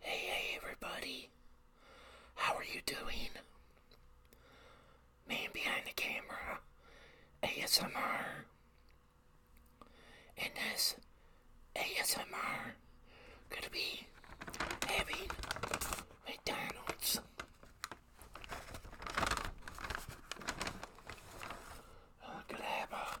Hey, hey, everybody. How are you doing? Man behind the camera, ASMR. In this ASMR, gonna be having McDonald's. I'm gonna have a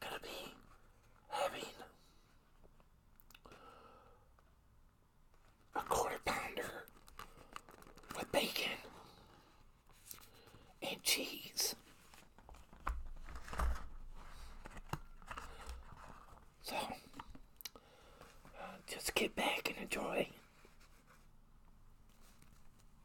gonna be having a quarter pounder with bacon and cheese. So, uh, just get back and enjoy.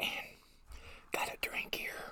And got a drink here.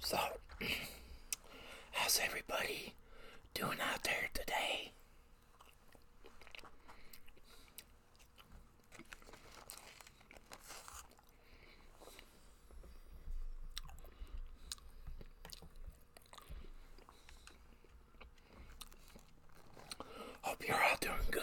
So, how's everybody doing out there today? Hope you're all doing good.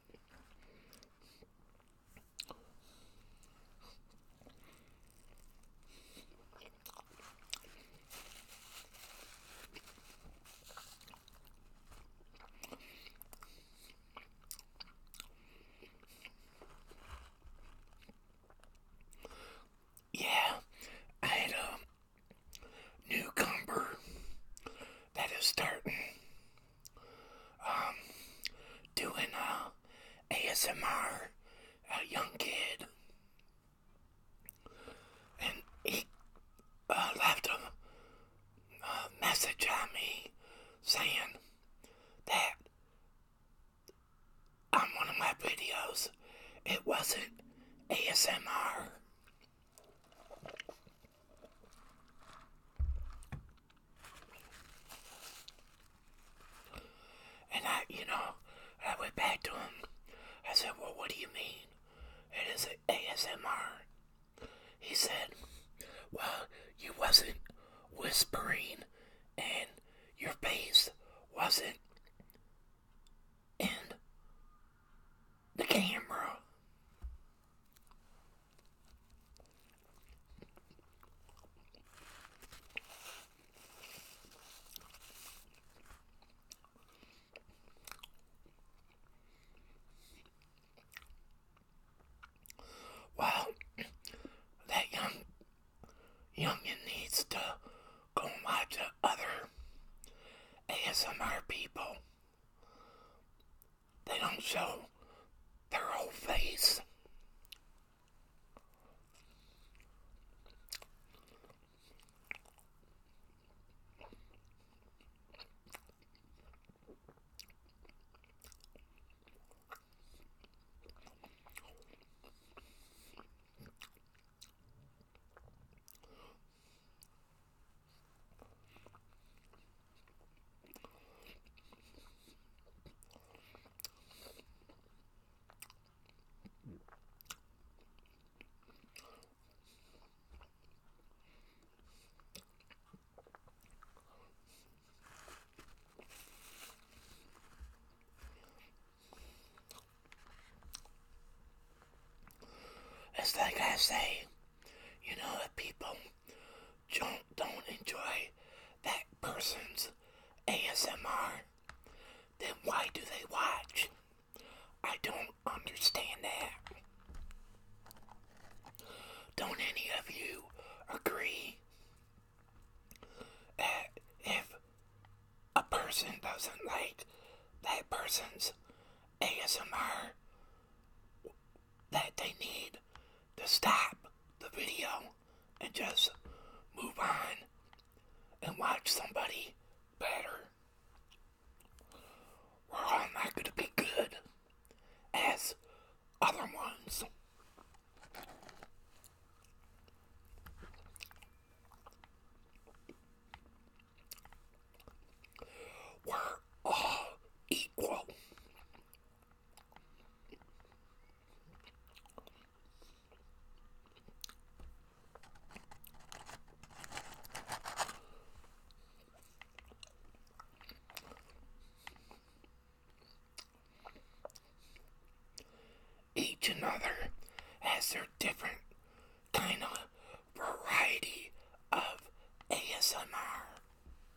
Yeah, I had a newcomer that is starting um, doing uh, a ASMR, a young kid, and he uh, left a, message on me saying that on one of my videos it wasn't ASMR. And I, you know, I went back to him. I said, Well, what do you mean? It is ASMR. He said, Well, you wasn't whispering and your face wasn't in the camera. Wow, that young youngin needs to go and to other ASMR people they don't show their whole face. It's like I say, you know, that people don't, don't enjoy that person's ASMR, then why do they watch? I don't understand that. Don't any of you agree that if a person doesn't like that person's ASMR, that they need to stop the video and just move on and watch somebody better. We're all not going to be good as other ones. We're all equal. Each another has their different kind of variety of ASMR.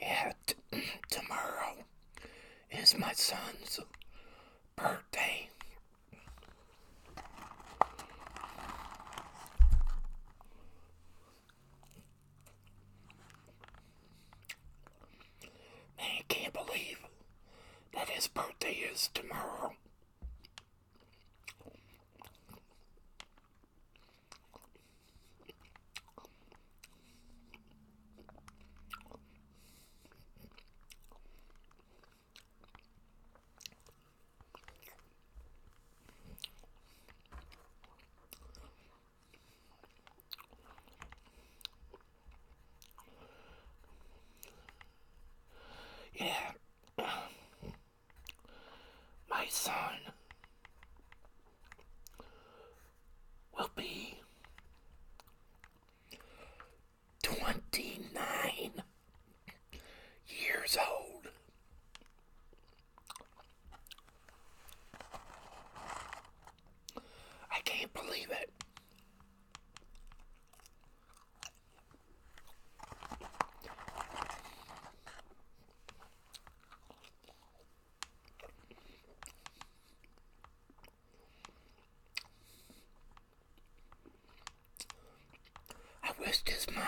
Yeah, tomorrow is my son's birthday. Man, I can't believe that his birthday is tomorrow. Yeah. My son will be 29 years old I can't believe it. I wish his mom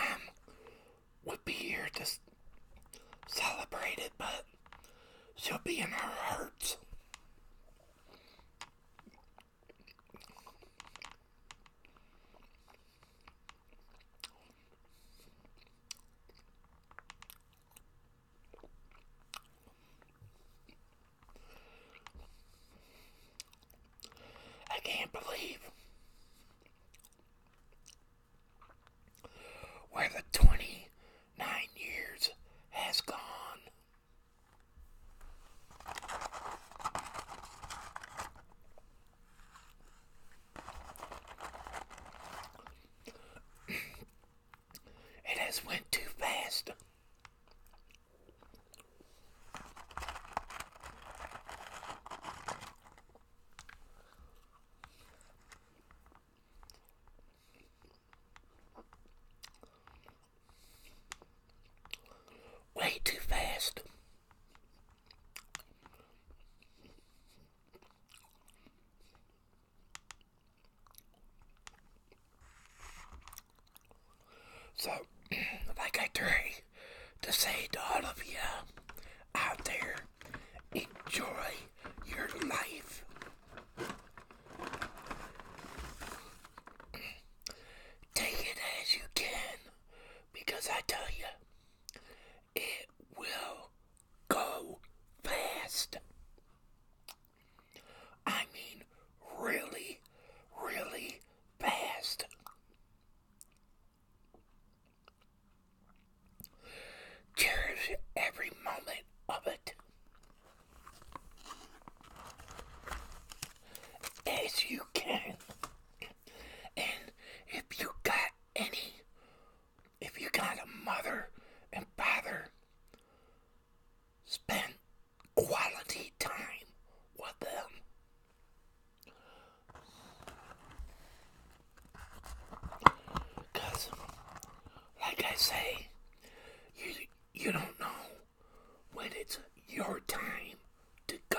would be here to celebrate it, but she'll be in our hearts. I can't believe where the 29 years has gone. it has went too fast. Way too fast. So, like I try to say to all of you out there, Enjoy your life. Take it as you can because I tell you, it will go fast. I mean, really, really fast. Cherish every moment of it. As you can. And if you got any, if you got a mother and father, spend quality time with them. Because, like I say, you, you don't know when it's your time to go.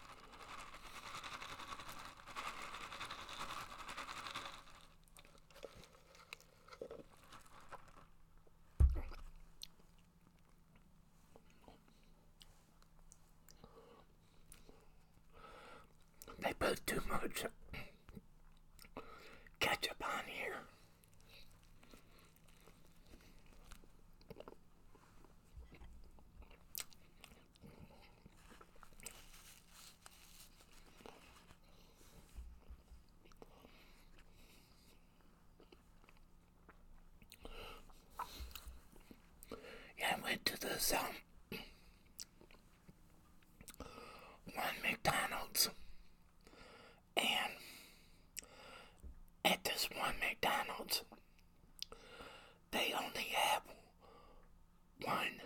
They put too much ketchup on here. And went to this um one McDonald's and at this one McDonald's they only have one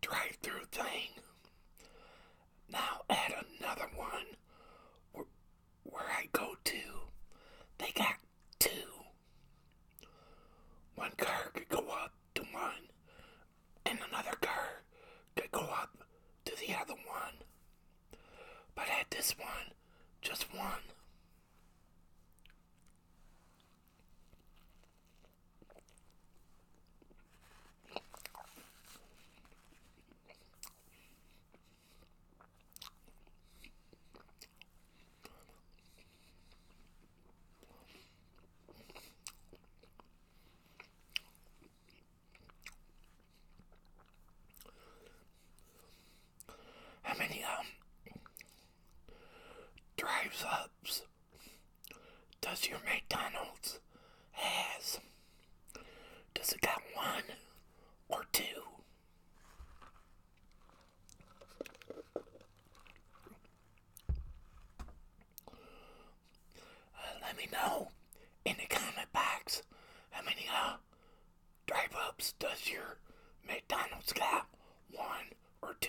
drive through thing. Now add another one where, I go to. They got two. One car could go up to one, and another car could go up to the other one. But at this one, just one. How many um drives ups does your McDonald's has? Does it got one or two? Uh, let me know in the comment box how many uh, drive ups does your McDonald's got? One or two?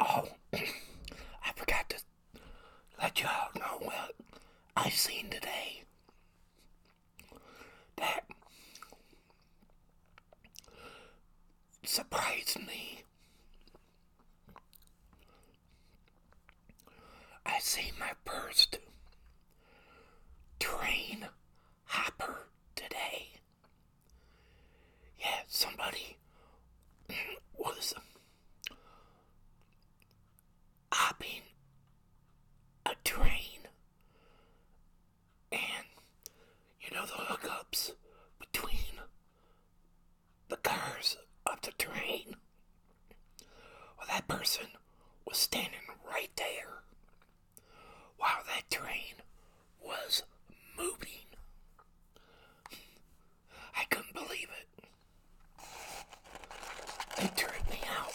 Oh, I forgot to let you all know what I have seen today. That surprised me. I seen my first train hopper today. Yeah, somebody was hopping a train, and you know the hookups between the cars of the train. Well, that person was standing right there while that train was moving. I couldn't believe it. They turned me out.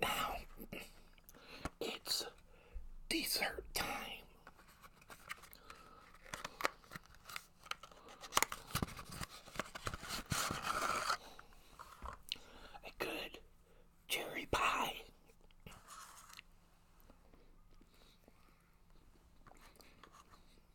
Now, it's dessert time. A good cherry pie.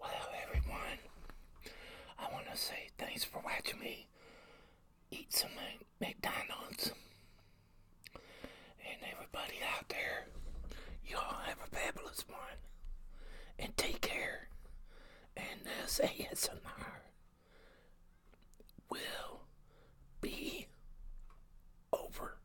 Well, everyone, I want to say thanks for watching me eat some McDonald's. And everybody out there, y'all have a fabulous one. And take care. And this ASMR will be over.